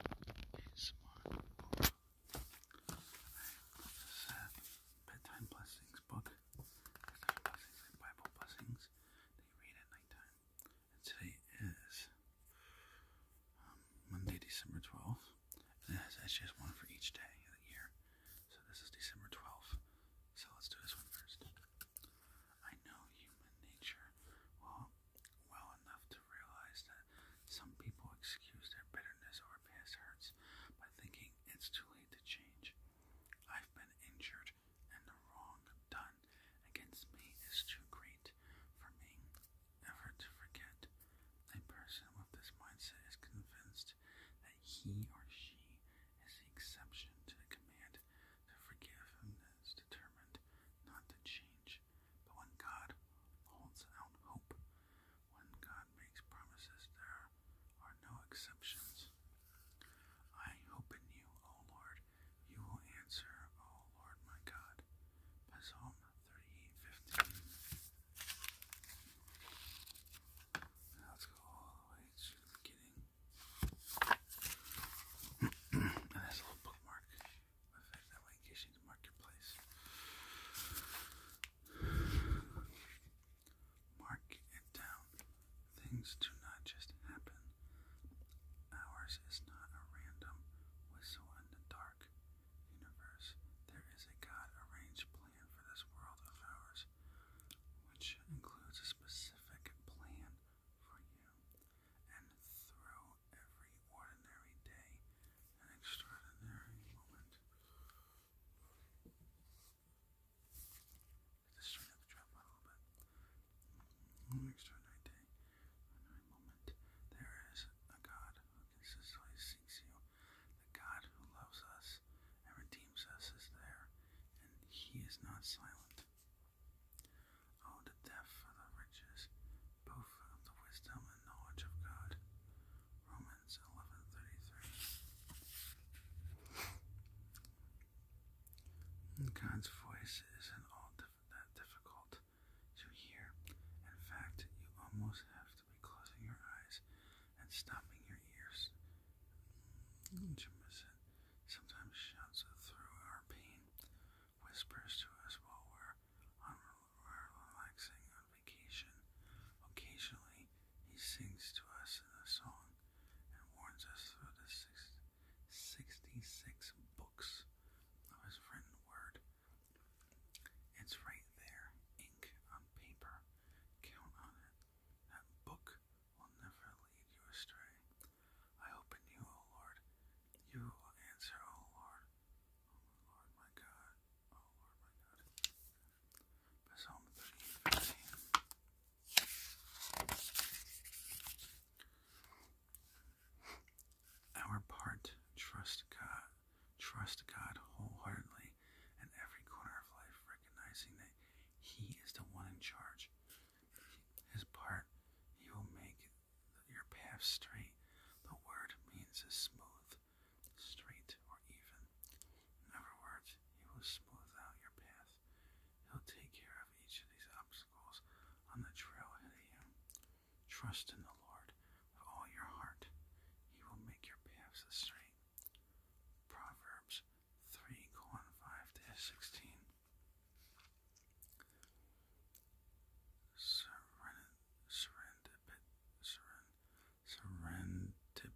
ASMR. Alright, this bedtime blessings book. Bedtime blessings and Bible blessings that read at nighttime. today is Monday, December 12th. And it has just one for each day of the year. So this is December 12th. So let's do this one first. I know human nature will well enough to realize that some people excuse their bitterness or past hurts by thinking it's too late to change. I've been injured, and the wrong done against me is too great for me ever to forget. A person with this mindset is convinced that he or she is the exception to the command to forgive and is determined not to change. But when God holds out hope, when God makes promises, there are no exceptions. I hope in you, O Lord. You will answer, O Lord my God. Psalm 38:15. Let's go all the way to the beginning. and that's little bookmark. Mark it down. Things do not just happen. Ours is not a random whistle in the dark universe. There is a God arranged plan for this world of ours, which includes a specific plan for you and through every ordinary day an extraordinary moment. Just straight up drop a little bit. An mm-hmm. extraordinary day, ordinary moment. There is a God who consistently seeks you. The God who loves us and redeems us is there, and He is not silent. Oh, the death for the riches both of the wisdom and knowledge of God. Romans 11:33. God's voice isn't all that difficult to hear. In fact, you almost have to be closing your eyes and stopping your ears to miss it. Sometimes shouts through our pain whispers to us while we're, relaxing on vacation. Occasionally, he sings to us in a song and warns us through the 66 books of his written word. It's right there, ink on paper. Count on it. That book will never lead you astray. I open you, O Lord. You will answer, O Lord. Lord oh, my God. Oh Lord my God. Our part trust God, trust God wholeheartedly in every corner of life, recognizing that He is the one in charge. His part He will make your path straight. The word means is smooth, straight, or even. In other words, he will smooth out your path. He'll take care of each of these obstacles on the trail of you. Trust in the Lord with all your heart. He will make your paths straight. Proverbs 3 5 16. Serendipity, I can't pronounce it.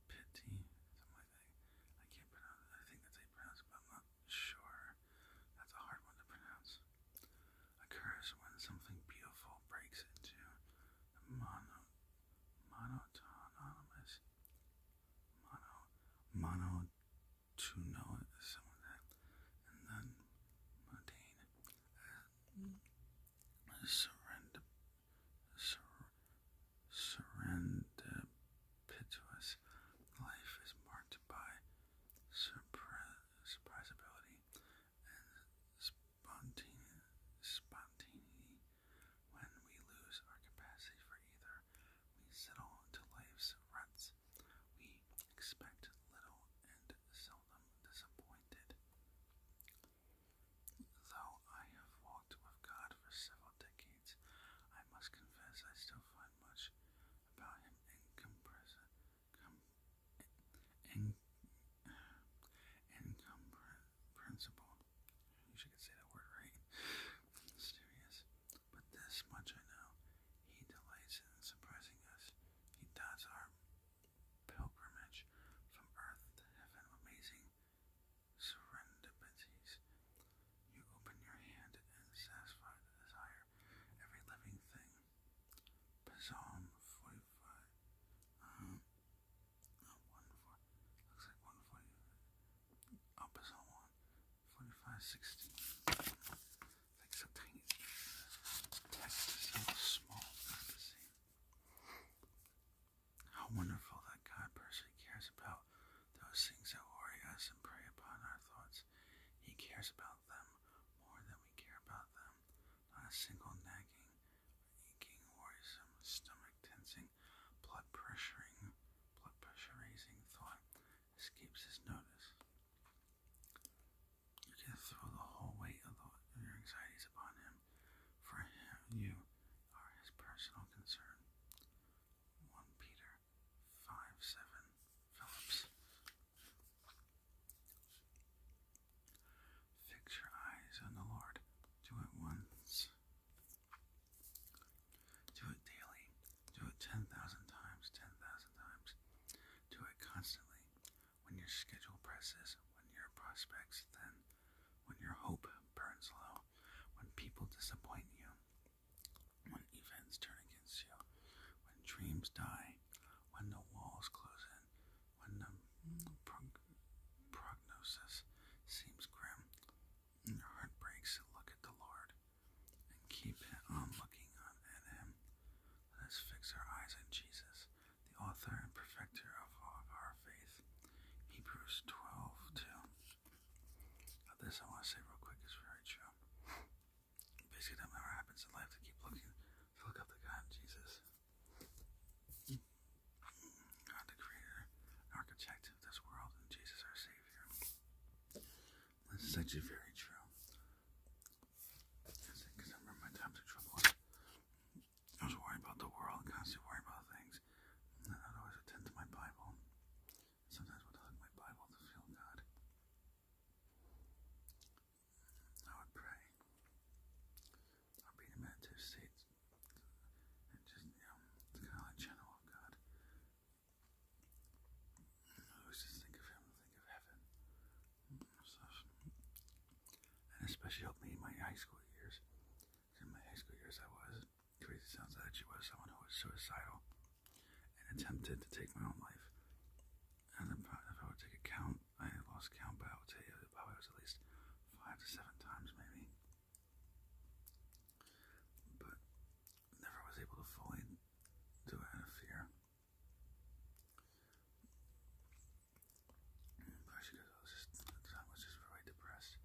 I think that's pronounce but I'm not sure. That's a hard one to pronounce. Occurs when something beautiful breaks into the monotonous, mono, monotonous, someone that, and then mundane surrender, sur, surrendipitous life is marked by surpri surprisability and spontaneity. When we lose our capacity for either, we settle into life's ruts. We expect little and seldom disappointed. Though I have walked with God for several decades, I must confess I still find much about him incomprehensible. I wish I could say that word right. serious. But this much I know. He delights in surprising us. He does our pilgrimage from earth to heaven amazing serendipities. You open your hand and satisfy the desire every living thing. Psalm 45. Um, Looks like 140. Oh, Psalm 1. 45, like sometimes text is so small, How wonderful that God personally cares about those things that worry us and prey upon our thoughts. He cares about them more than we care about them. Not a single nagging, aching, worrisome, stomach tensing, blood pressuring, blood pressure raising thought escapes his notice. You can throw the whole weight of your anxieties upon him, for him, you are his personal concern. 1 Peter 5 Phillips. Fix your eyes on the Lord. Do it once. Do it daily. Do it 10,000 times, 10,000 times. Do it constantly when your schedule presses, when your prospects thin, when your hope burns low, when people disappoint you, when events turn against you, when dreams die, when the walls close in, when the prognosis seems grim, and your heart breaks, look at the Lord and keep on looking on at Him. Let us fix our eyes on Jesus the author and perfecter of, of our faith. Hebrews 12 2. this I want to say real quick is very true. Basically, no matter what happens in life, to keep looking, to look up to God, Jesus. God, the creator, architect of this world, and Jesus, our Savior. This is actually very true because I remember my times of trouble. I was worried about the world, constantly worried about things. And I'd always attend to my Bible. Sometimes I would hug my Bible to feel God. I would pray. I'd be in a meditative state. And just, you know, kind of channel God. I always just think of Him, think of heaven and especially helped me in my high school years. In my high school years, I was crazy. Sounds that she was someone who was suicidal and attempted to take my own life. And if I would take a count, I lost count, but I would you that probably was at least five to seven times, maybe. But never was able to fully do it out but oh, I was just I was just very depressed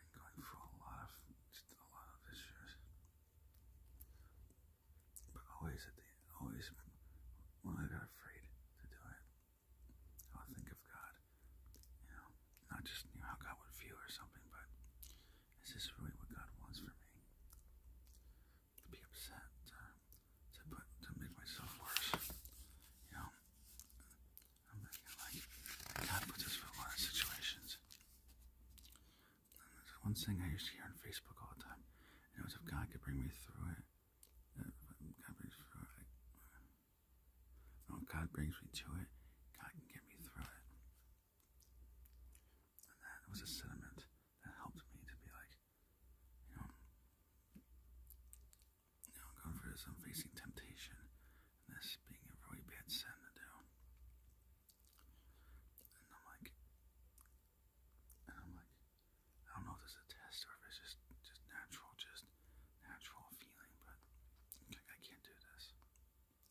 and going through a lot of a lot of issues. But always at the always when I got afraid to do it, I would think of God. You know, not just how God would feel or something, but is this really what God wants for me? to be upset, to, put to make myself worse. You know, I'm thinking like God puts us for a lot of situations. there's one thing I used to hear on Facebook all the time, and it was if God could bring me through it, God brings through it. No, oh, God brings me to it. God can get me through it. And that was a sentiment that helped me to be like, you know, you know going for this, I'm facing temptation, and this being a really bad sin to do. And I'm like, and I'm like, I don't know if this is a test or if it's just just natural, just natural feeling, but like, I can't do this.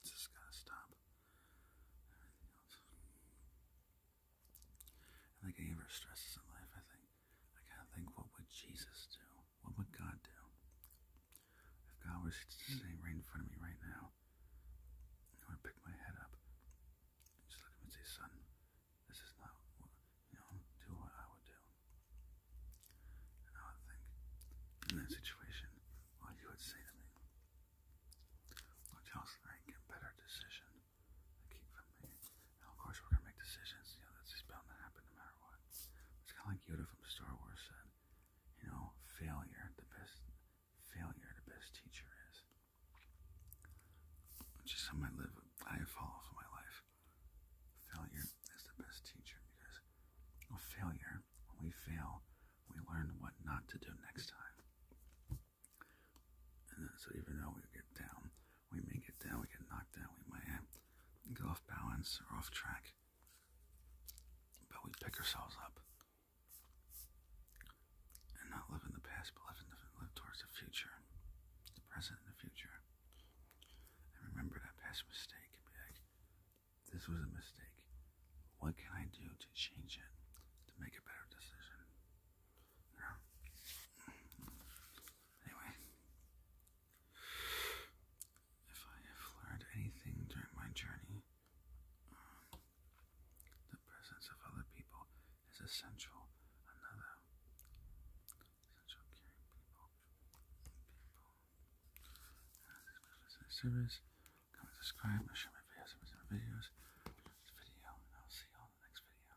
It's just gotta stop. I think I gave her stresses in life. I think I gotta think what would Jesus do? What would God do? If God was sitting right in front of me right now, I would pick my head up just look at him and say, Son, this is not what you know, do what I would do. And I would think in that situation, what well, you would say to me. Which else I get better decision of course, oh, we're gonna make decisions. You know, that's just bound to happen no matter what. It's kind of like Yoda from Star Wars said, you know, failure. The best failure, the best teacher is. Which is something live. I follow for my life. Failure is the best teacher because failure. When we fail, we learn what not to do next time. And so even though we get down, we may get down, we get knocked down, we may get off balance or off track. But we pick ourselves up and not live in the past, but live, towards the future, the present the future. And remember that past mistake. Be like, this was a mistake. What can I do to change it, to make a better decision? Anyway, if I have learned anything during my journey, um, the presence of other people is essential. Another essential caring people, people. service. Comment, subscribe, share my videos, submit videos. video, and I'll see you on the next video.